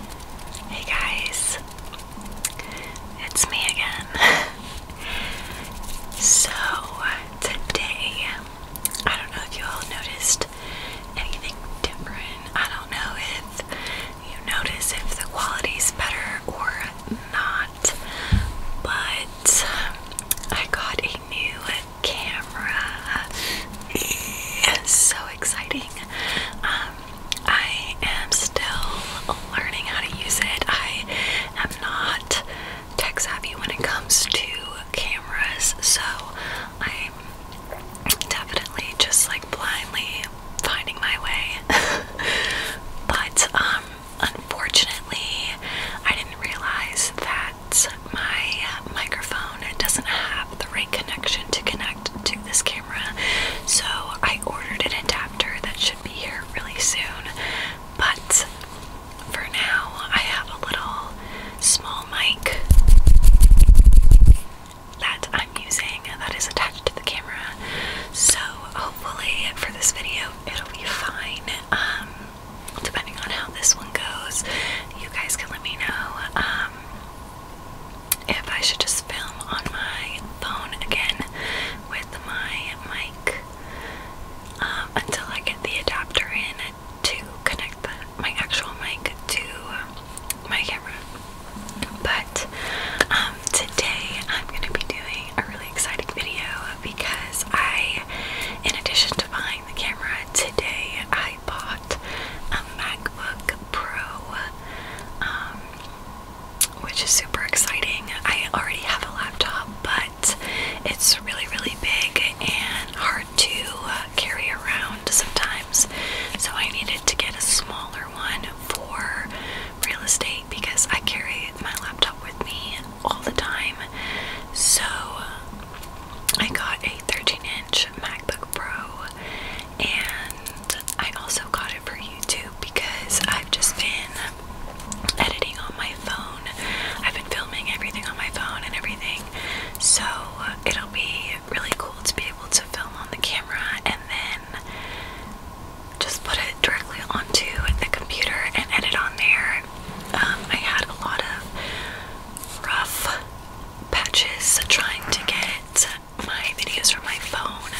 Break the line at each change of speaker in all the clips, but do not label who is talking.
Hey guys, it's me again. so, today, I don't know if you all noticed anything different. I don't know if you notice if the quality's better or not, but I got a new camera. so exciting. Um, I am still learning how to use it. I am not tech savvy when it comes to cameras, so I'm definitely just like blindly finding my way. but um, unfortunately I didn't realize that my microphone doesn't have the right connection to connect to this camera. So I ordered an adapter that should be here really soon. But for now, I have a little small mic that I'm using that is attached to the camera. So hopefully for this video, it'll be fine. Um, depending on how this one goes, you guys can let me know. Um, if I should just film on my phone again with my mic um, until I get the adapter in to connect my actual mic to my camera. But um, today I'm going to be doing a really exciting video because I, in addition to buying the camera today, I bought a MacBook Pro, um, which is super exciting. I already have a laptop, but it's really, really big and hard to carry around sometimes. So I needed to get a smaller one for real estate because I carry my laptop with me all the time. So I got a 13 inch MacBook Pro and I also got it for YouTube because I've just been editing on my phone. I've been filming everything on my phone and everything. So it'll be really cool to be able to film on the camera and then just put it directly onto the computer and edit on there. Um, I had a lot of rough patches trying to get my videos from my phone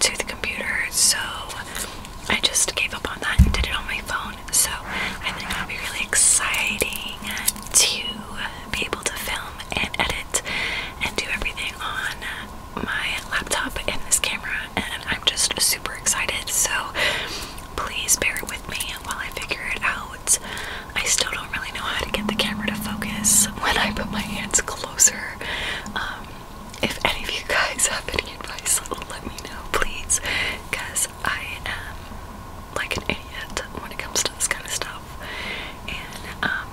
to the computer, so I just gave up on that and did it on my phone. So I think it'll be really exciting to be able to film and edit and do everything on my laptop and this camera, and I'm just super excited. So please bear with me while I figure it out. I still don't really know how to get the camera to focus when I put my hands closer. Um, if any of you guys have any advice, let me know, please, because I am like an idiot when it comes to this kind of stuff. And um,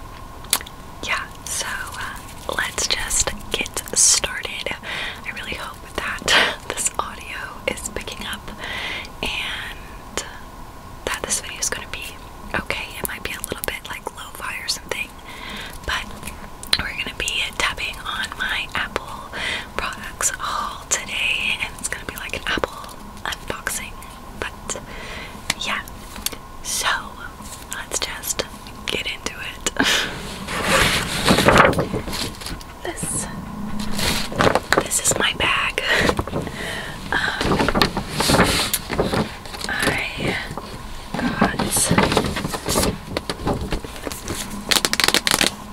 yeah, so uh, let's just get started. I really hope that this audio is picking up and that this video is going to be okay. It might be a little bit like lo fi or something, but we're going to be tapping on my Apple products all today, and it's going to be like an Apple unboxing. But yeah, so let's just get into it. this. This is my bag. Um, I got.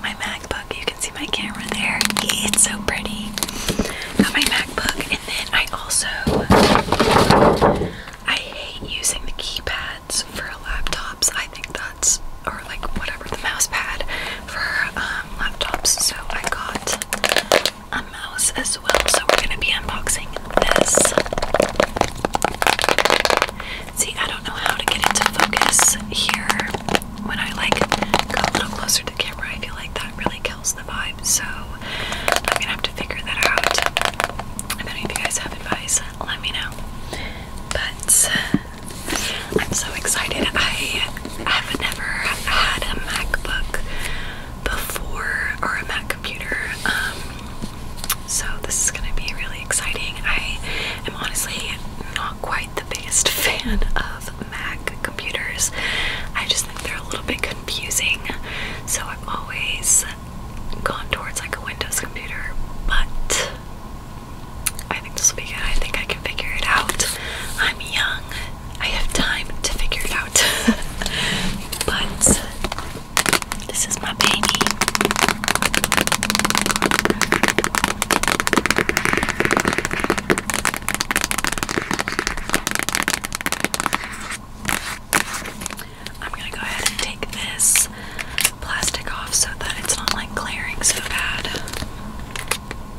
My MacBook, you can see my camera there. It's so pretty. Got my MacBook, and then I also I hate using the keypads for laptops. I think that's or like whatever the mouse pad for um, laptops. So I got a mouse as well. So we're gonna be unboxing this. See, I don't know how to get into focus here. When I like go a little closer to the camera, I feel like that really kills the vibe. So I'm gonna have to figure that out. If any of you guys have advice, let me know. But I'm so excited. I have never had a MacBook before or a Mac computer. Um, so this is gonna be really exciting. I am honestly not quite the biggest fan of Mac computers. I just think they're a little bit confusing. So I've always gone towards like a Windows computer, but I think this will be good. I think I can figure it out. I'm young. I have time to figure it out. but this is my baby. I'm gonna go ahead and take this plastic off so that it's not like glaring so bad.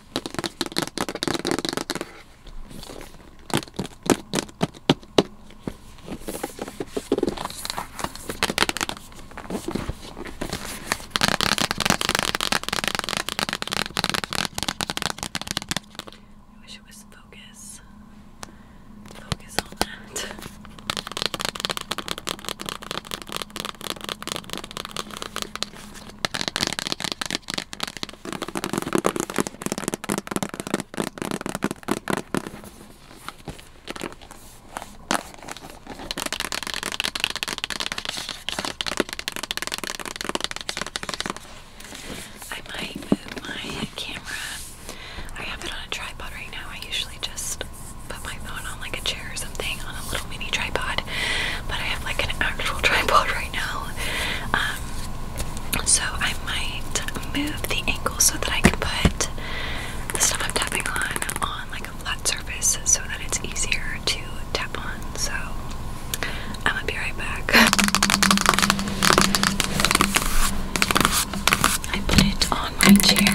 I wish it was focus. Focus on that. I might move my camera. I have it on a tripod right now. I usually just put my phone on like a chair or something on a little mini tripod, but I have like an actual tripod right now. Um, so I might move the angle so that I can put the stuff I'm tapping on on like a flat surface so that it's easier to tap on. So I'm gonna be right back. I put it on my chair.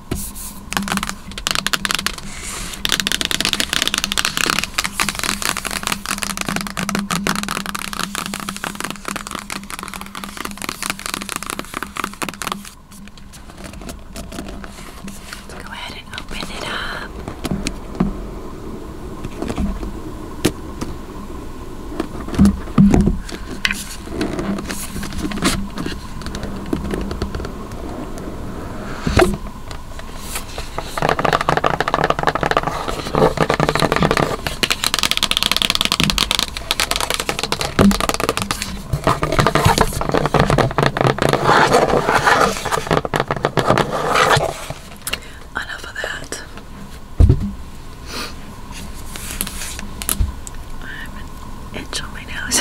Go ahead and open it up. Enough of that itch on my nose.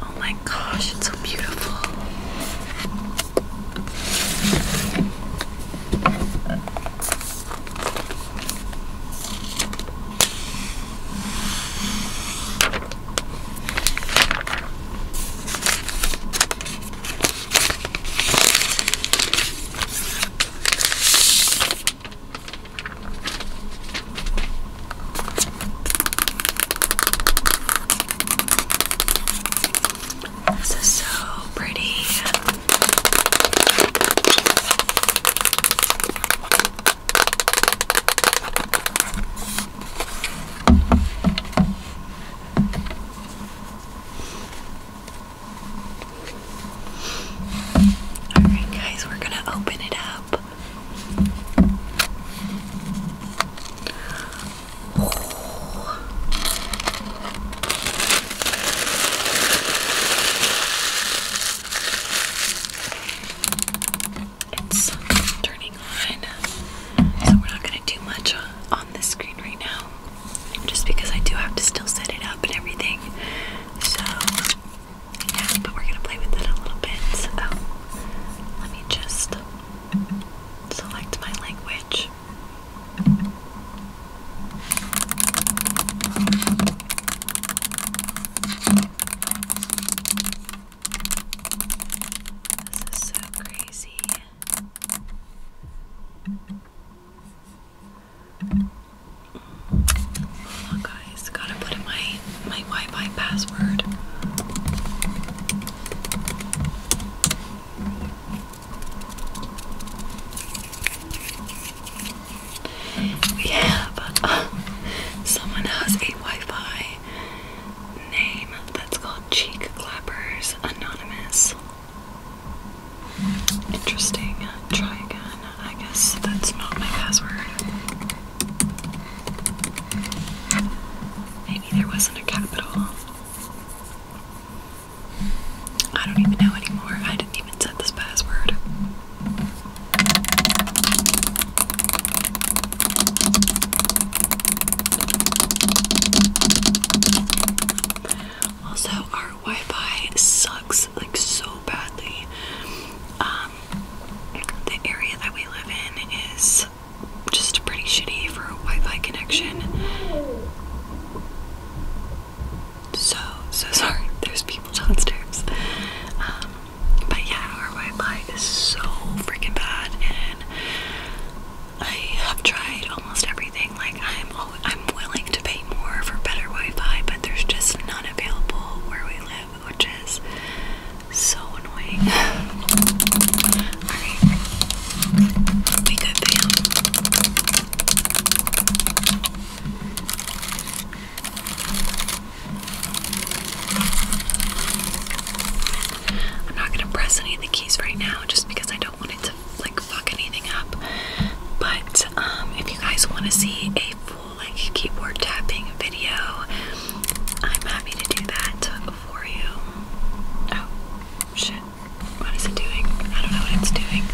Oh my gosh, it's so beautiful. This is so pretty. Alright, guys, we're gonna open it up. It's turning on, so we're not going to do much on the screen right now just because I do have to still set it up and everything. So, yeah, but we're gonna play with it a little bit. So, let me just select my language. This is so crazy. Hold on, guys. Gotta put in my my Wi-Fi password. Yeah, but uh, someone has a Wi-Fi name that's called Cheek Clappers Anonymous. Interesting. Try again. I guess that's not my password. Maybe there wasn't a capital. I don't even know anymore. I didn't even set this password. Also, our Wi-Fi sucks like so badly. Um, the area that we live in is just pretty shitty for a Wi-Fi connection. So so sorry. There's people downstairs. Um, but yeah, our Wi-Fi is so freaking bad, and I have tried almost everything. Like I'm, I'm willing to pay more for better Wi-Fi, but there's just none available where we live, which is so annoying. All right, we good, I'm not gonna press any of the keys right now, just because I don't want it to like fuck anything up. But um, if you guys want to see a full like keyboard tapping video, I'm happy to do that for you. Oh shit! What is it doing? I don't know what it's doing.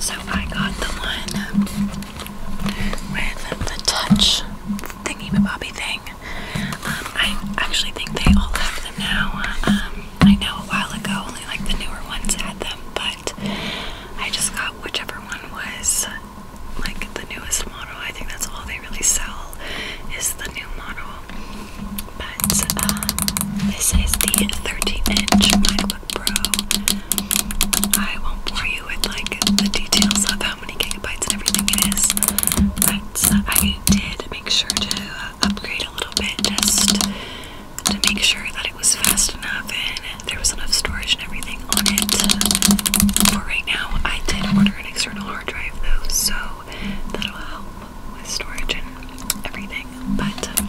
So I got the one with the touch thingy bobby thing. Um, I actually think they all have them now. Um, I know a while ago only like the newer ones had them, but I just got whichever one was like the newest model. I think that's all they really sell is the new model. But um, this is the 13-inch MacBook Pro. I won't bore you with like the details of how how many gigabytes and everything it is. But I did make sure to uh, upgrade a little bit just to make sure that it was fast enough and there was enough storage and everything on it. For right now, I did order an external hard drive though, so that'll help with storage and everything. But um,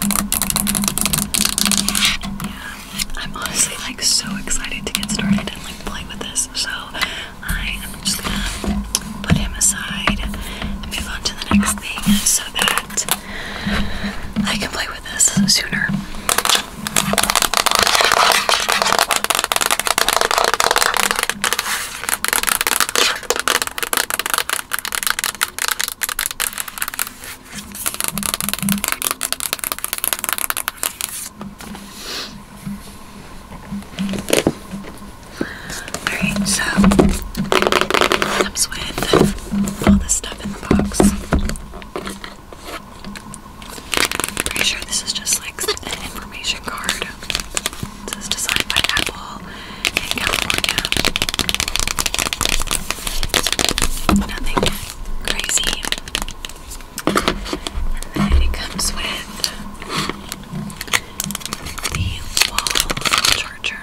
yeah, I'm honestly like so excited to get started and like play with this. So I am just gonna put him aside and move on to the next thing so that I can play with this sooner. Alright, so comes with all this stuff in the box. pretty sure this is just like an information card. This is designed by Apple in California. Nothing crazy. And then it comes with the wall charger.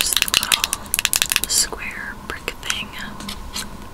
Just a little square brick thing.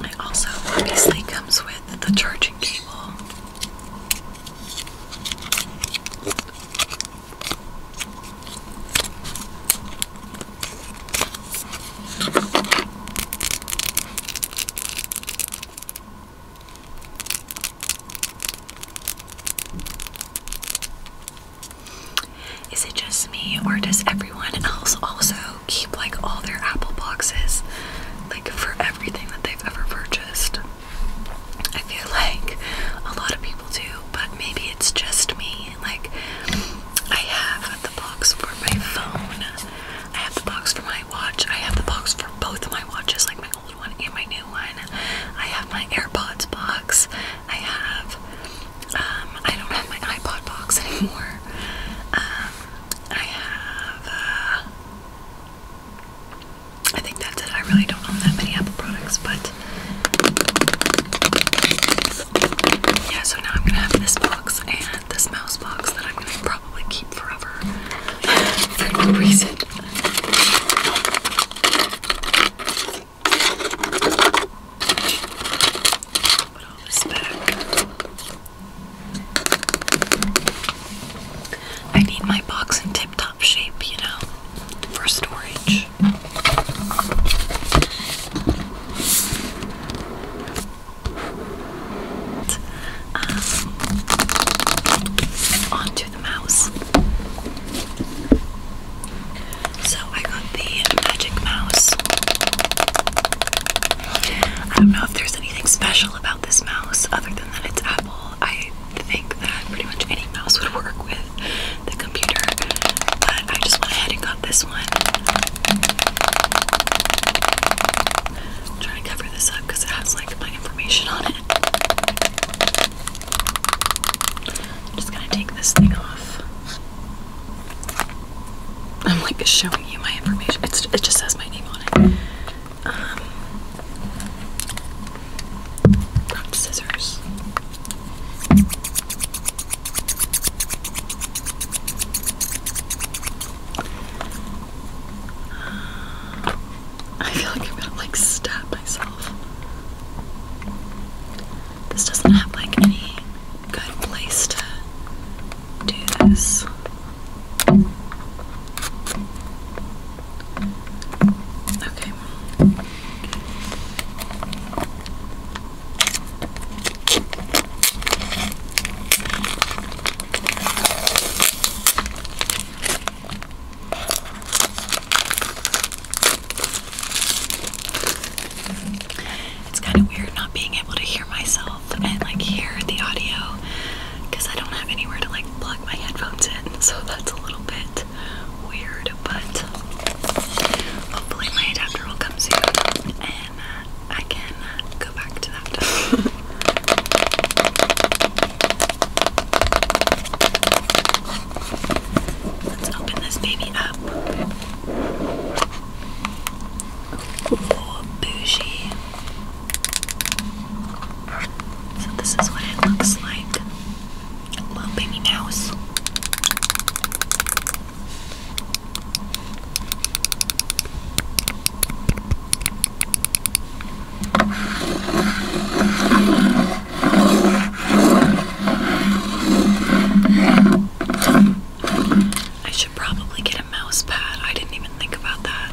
It also obviously comes with the charging cable. Is it just me, or does everyone else also keep like all their Apple boxes, like for everything that they've ever purchased. I feel like a lot of people do, but maybe it's just me. Like, I have the box for my phone, I have the box for my watch, I have the box for both of my watches, like my old one and my new one. I have my AirPods box, I have, um, I don't have my iPod box anymore. Um, I have, uh, I think that's it. I really don't own that many Apple products, but yeah, so now I'm gonna have this box and this mouse box that I'm gonna probably keep forever for no reason. I need my box in tip top shape, you know, for storage. Um, onto the mouse. So I got the magic mouse. I don't know if there's anything special about this mouse other than that it's Apple. I think that pretty much any mouse would work with the computer, but I just went ahead and got this one. I'm trying to cover this up because it has like my information on it. I'm just gonna take this thing off. I'm like showing you my information. it just says my name on it. Um, scissors. I feel like I'm gonna like stab myself. This doesn't have like any good place to do this. Okay it's kind of weird not being able to hear myself and like hear the audio because I don't have anywhere to like plug my headphones in, so that's a little bit weird. But hopefully, my adapter will come soon and uh, I can uh, go back to that. Let's open this baby up. Oh, bougie. So this is what it looks like. little baby mouse. I should probably get a mouse pad. I didn't even think about that.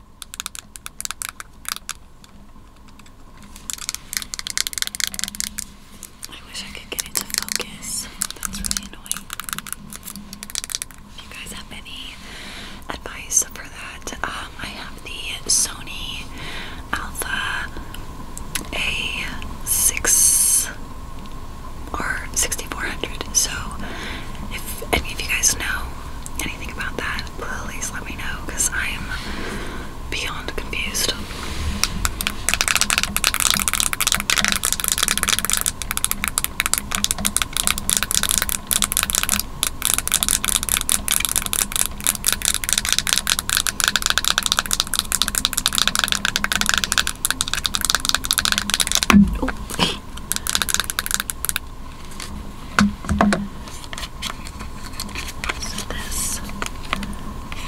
I wish I could get it focus. That's really annoying. If you guys have any advice for that, um, I have the Sony Alpha A6 or 6400. So, if any of you guys know anything about that, please let me know because I am beyond confused. Oh. So this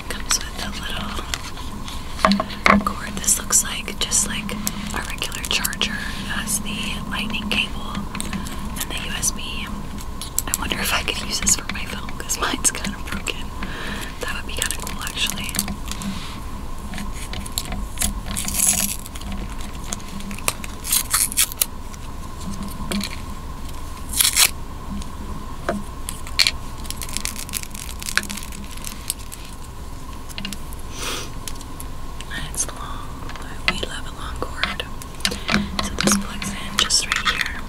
comes with a little cord. This looks like just like a regular charger. has the lightning cable and the USB. I wonder if I could use this for my phone because mine's kind of broken. That would be kind of cool actually. It's long. We love a long cord. So this plugs in just right here.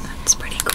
That's pretty cool.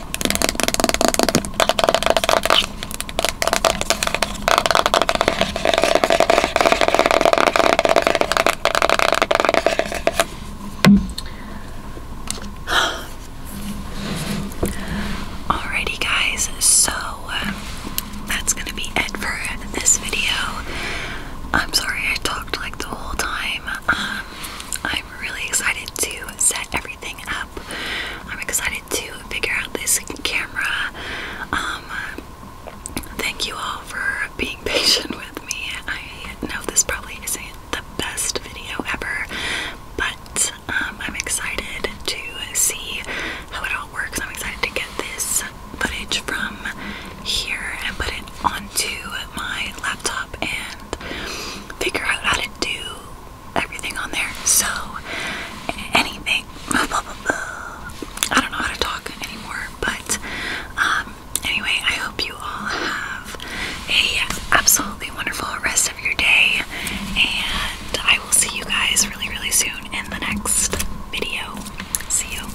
Alrighty, guys, so um, that's gonna be it for this video. I'm sorry I talked like the whole time. Um, I I'm really excited to set everything up. I'm excited to figure out this camera. Um, thank you all for being patient with me. I know this probably isn't the best video ever, but um, I'm excited to see how it all works. I'm excited to get this footage from here and put it onto my laptop and figure out how to do everything on there. So, anything, I don't know how to talk anymore, but um, anyway, I hope you all have a absolutely wonderful rest of your day, and I will see you guys really, really soon in the next video. See you.